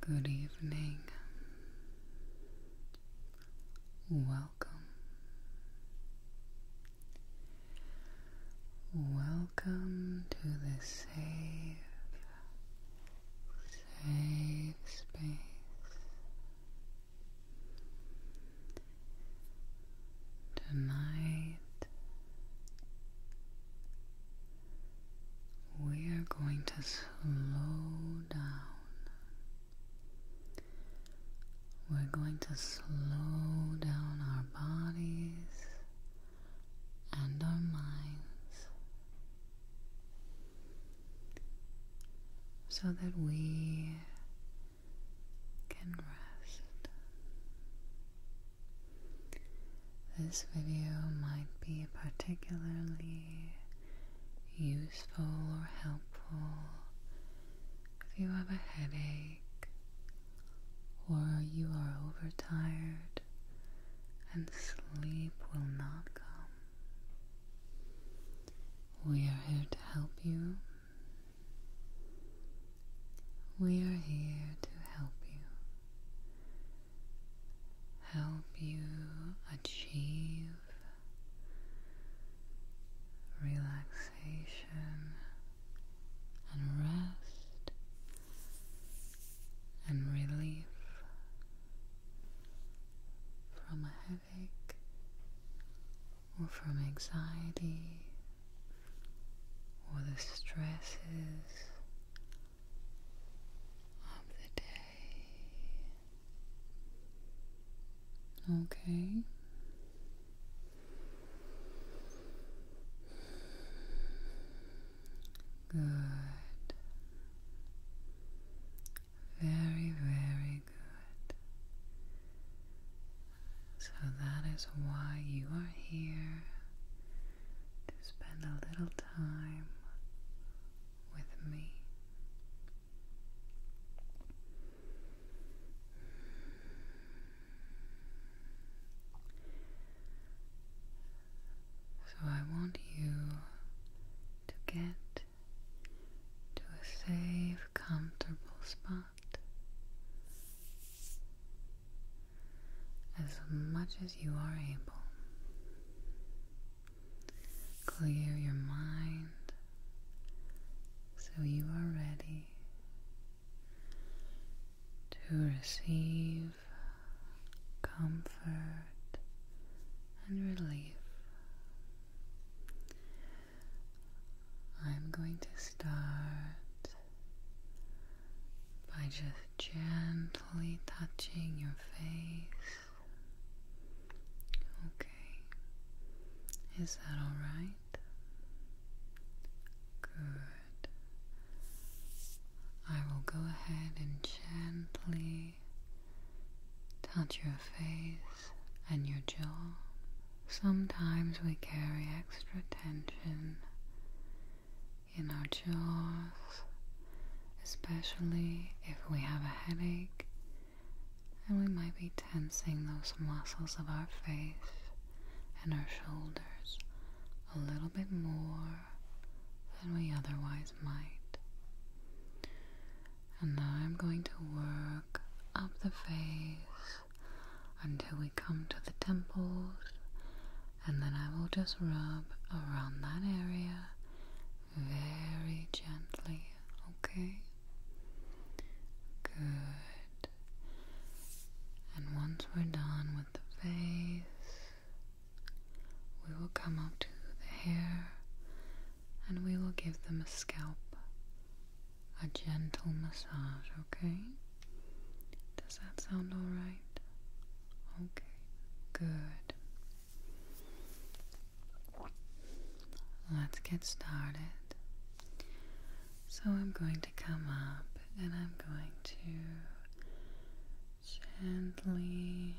Good evening. Welcome. Welcome to the safe, safe space. Tonight, we are going to slow down. We're going to slow down our bodies and our minds so that we can rest. This video might be particularly useful or helpful if you have a headache or you are overtired and sleep will not come. We are here to help you. We are here to help you. Help you achieve relaxation and rest and relief from a headache or from anxiety or the stresses of the day. Okay. Good. Very, very good. So that is why you are here to spend a little time with me. So I want you to get to a safe, comfortable spot as much as you are able. Clear your mind so you are ready to receive comfort and relief. I'm going to start by just gently touching your face. Okay, is that all right? Good. I will go ahead and gently touch your face and your jaw. Sometimes we carry extra tension in our jaws, especially if we have a headache and we might be tensing those muscles of our face and our shoulders a little bit more than we otherwise might. And now I'm going to work up the face until we come to the temples, and then I will just rub around that area very gently, okay? Good. And once we're done with the face. We will come up to the hair and we will give them a scalp a gentle massage, okay? Does that sound alright? Okay, good. Let's get started. So I'm going to come up and I'm going to gently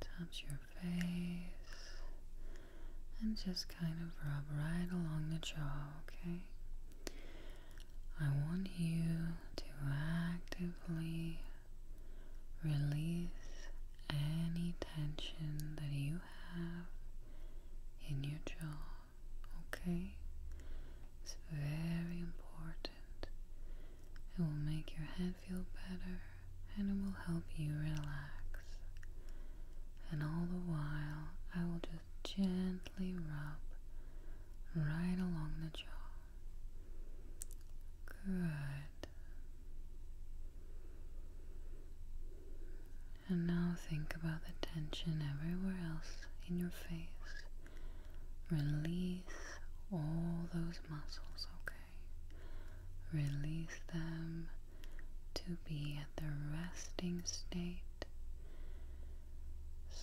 touch your face and just kind of rub right along the jaw, okay? I want you to actively release any tension that you have in your jaw okay? It's very important. It will make your head feel better and it will help you relax. And all the while, I will just gently rub right along the jaw. Good. And now think about the tension everywhere else in your Release all those muscles, okay? Release them to be at the resting state.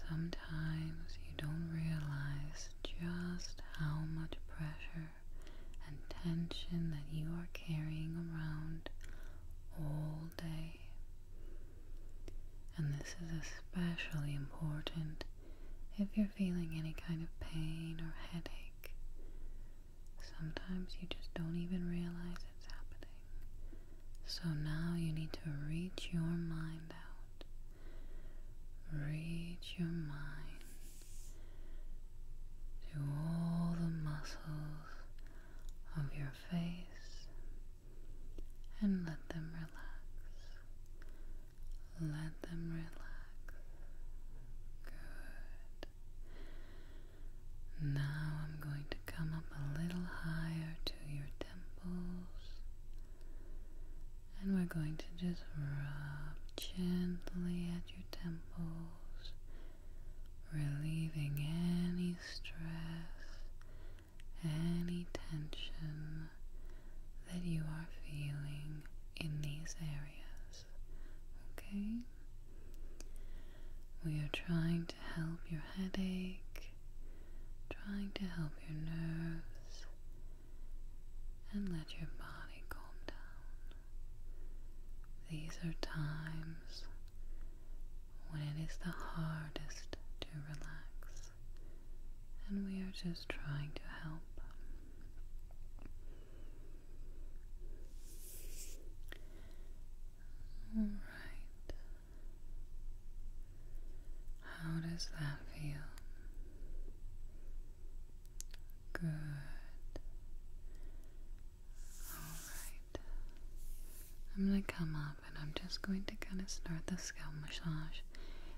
Sometimes you don't realize just how much pressure and tension that you are carrying around all day. And this is especially important if you're feeling any kind of pain or headache. Sometimes you just don't even realize it's happening. So now you need to reach your mind out. Reach your mind to all the muscles of your face and let them relax. Let them relax. Good. Now I'm going to come up a little higher to your temples. And we're going to just rub gently at your temples, relieving any stress, any tension that you are feeling in these areas. Okay? We are trying to help your headache, trying to help your nerves, and let your body calm down. These are times when it is the hardest to relax, and we are just trying to help. Alright. How does that feel? Good. Alright. I'm going to come up and I'm just going to kind of start the scalp massage.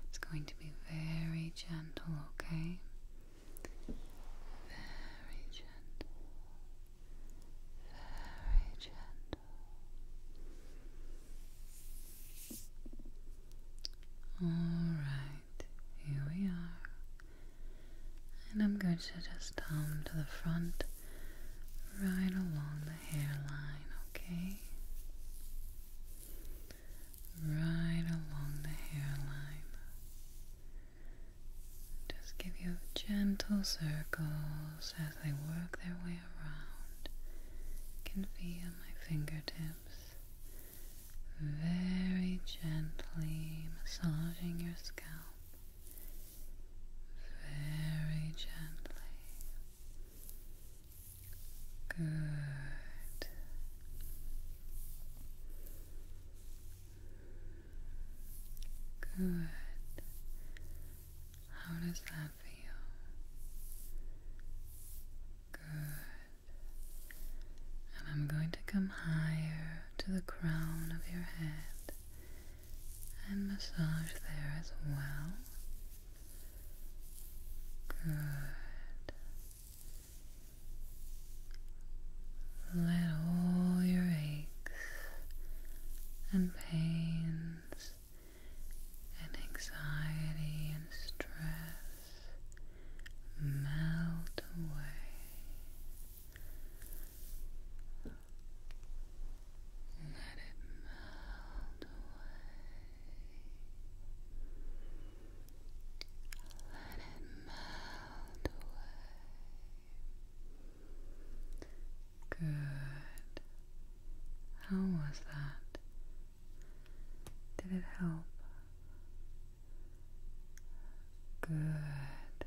It's going to be very gentle, okay? Very gentle. Very gentle. Alright, here we are. And I'm going to just come to the front right along the hairline, okay? Right along the hairline. Just give you gentle circles as they work their way around. can feel my fingertips very gently massaging your scalp very gently. Good. Good. How does that feel? Good. And I'm going to come higher to the crown of your head and massage there as well. Good. Let all your aches and pains and anxiety and stress melt away. Let it melt away. Let it melt away. Good. How was that? Did it help? Good.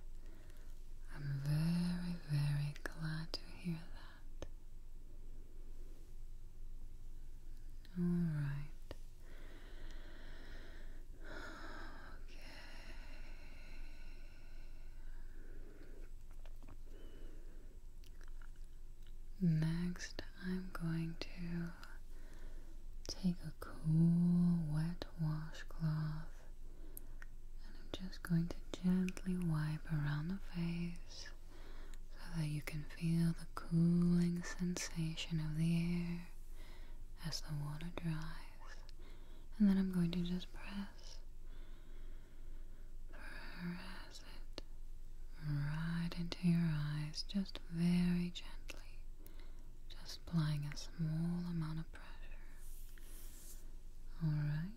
I'm very, very glad to hear that. All right. Okay. Next, I'm going to take a cool wet washcloth and I'm just going to gently wipe around the face so that you can feel the cooling sensation of the air as the water dries. And then I'm going to just press, press it right into your eyes, just very gently, just applying a small amount of pressure. Alright.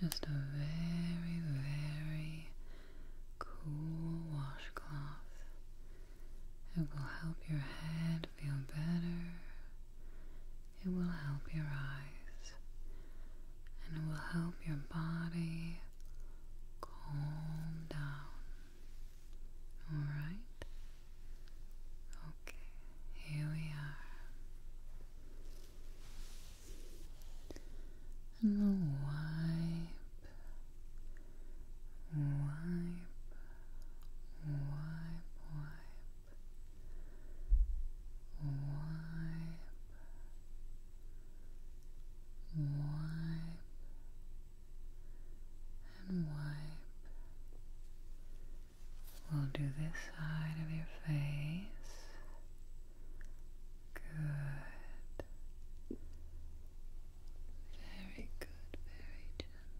Just a very, very cool washcloth. It will help your head feel better. It will help your eyes. And it will help your body calm down. Alright? Okay, here we are and we'll wipe, wipe, wipe, wipe, wipe, wipe, and wipe. We'll do this side of your face. Good. Very good, very gentle.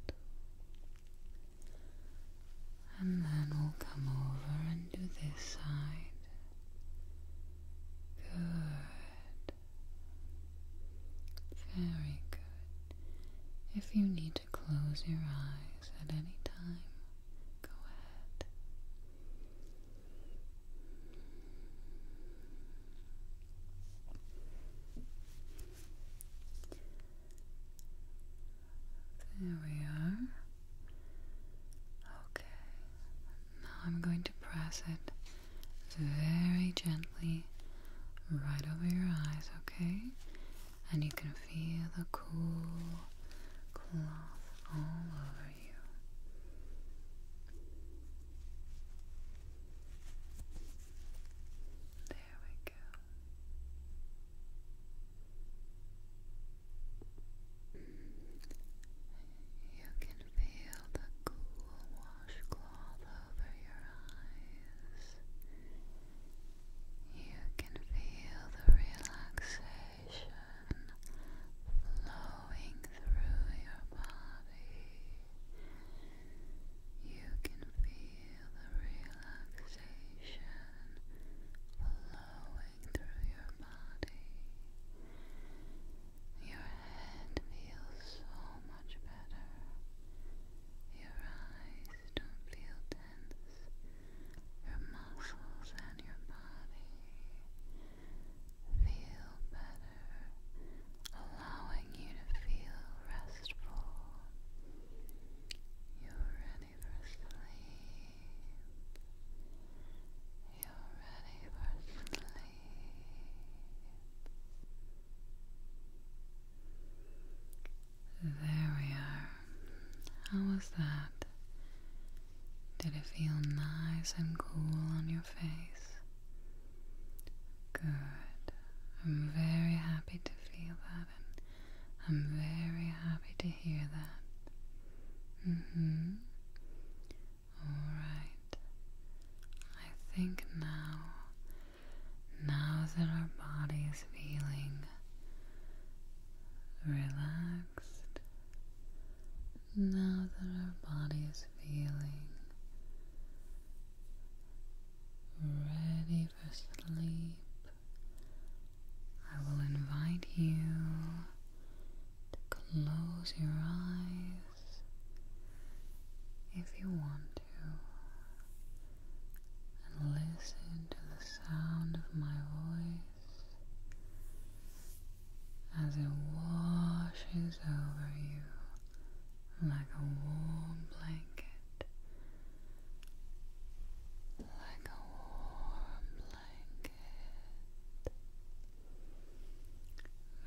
And then we'll come over and do this side. Good. Very good. If you need to close your eyes at any time, Go ahead. There we are. Okay. Now I'm going to press it very gently right over your eyes, okay? and you can feel the cool cloth all over you. There we go. You can feel the cool washcloth over your eyes. You can feel the relaxation. You can feel the relaxation flowing through your body. Your head feels so much better. Your eyes don't feel your muscles and your body feel better, allowing you to feel restful. You're ready for sleep. You're ready for sleep. There we are. How was that? Did it feel nice and cool on your face? Good. I'm very happy to feel that, and I'm very happy to hear that. Mm hmm. Alright. I think now, now that our body is feeling relaxed now that our body is feeling ready for sleep. I will invite you to close your eyes if you want to and listen to the sound of my voice as it washes over you like a warm blanket, like a warm blanket.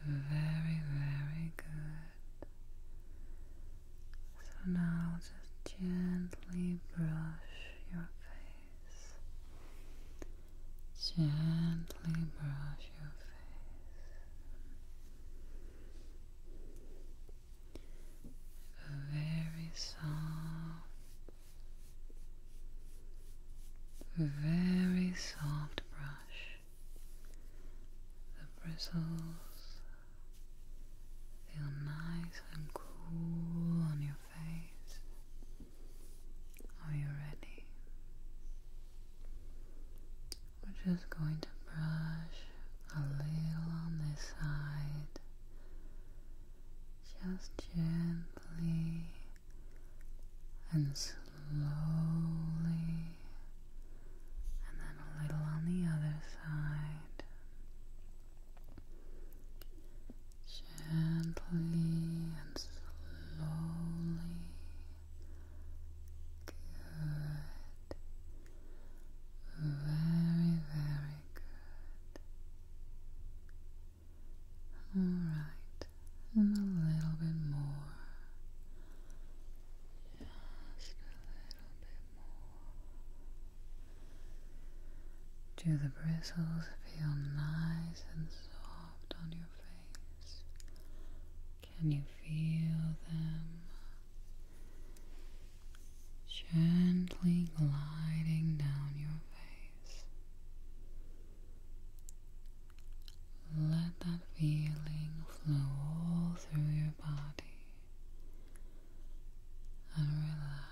Very, very good. So now just gently brush your face. Gently brush your face a very soft, very soft brush. The bristles feel nice and cool on your are you ready? We're just going to brush a little on this side, just gently and slowly, and then a little on the other side. Gently and slowly. Good. Very, very good. Alright, and a little bit more. Just a little bit more. Do the bristles feel nice and soft on your face? Can you feel them gently gliding down your face? Let that feeling flow all through your body and relax.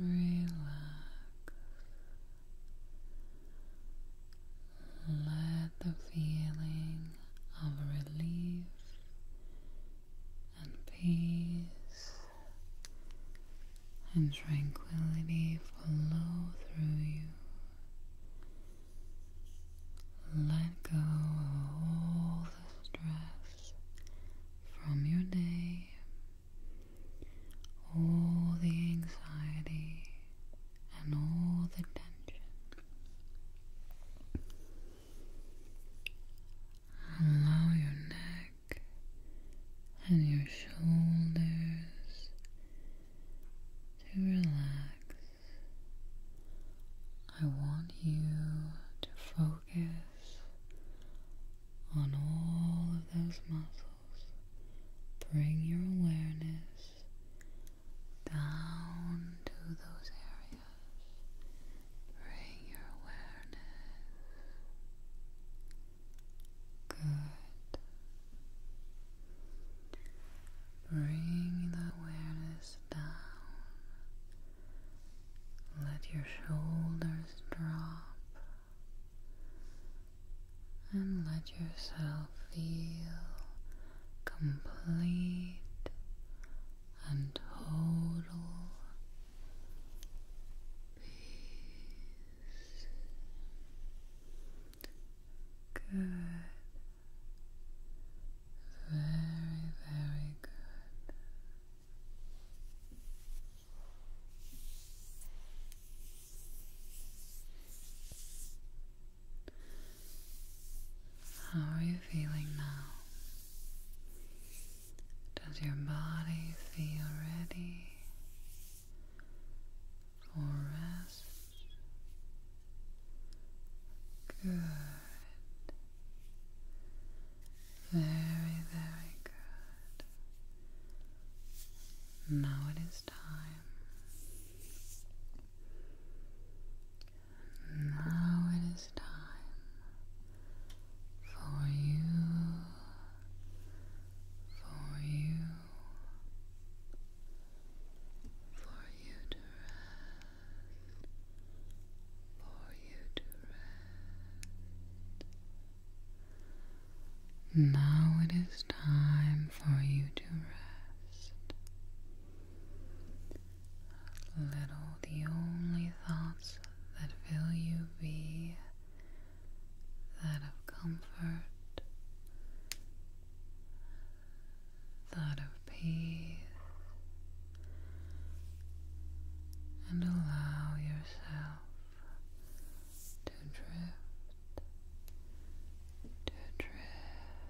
Relax. Let the feeling of relief and peace and tranquility flow through you. Let go of all the stress from your day all the anxiety and all the tension. Allow your neck and your shoulders to relax. I want you to focus on all of those muscles. Bring your awareness down to those areas. Bring your awareness. Good. Bring the awareness down. Let your shoulders drop and let yourself feel complete and total peace. Good. Very, very good. How are you feeling now? Does your body feel ready for rest? Good. Very, very good. Now it is time. Now it is time for you, for you, for you to rest, for you to rest. Now it is time for you to rest. Little the only thoughts that fill you be that of comfort, that of peace, and allow yourself to drift, to drift,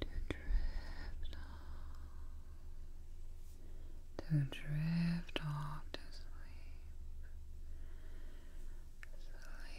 to drift off, to drift off to sleep, sleep, sleep.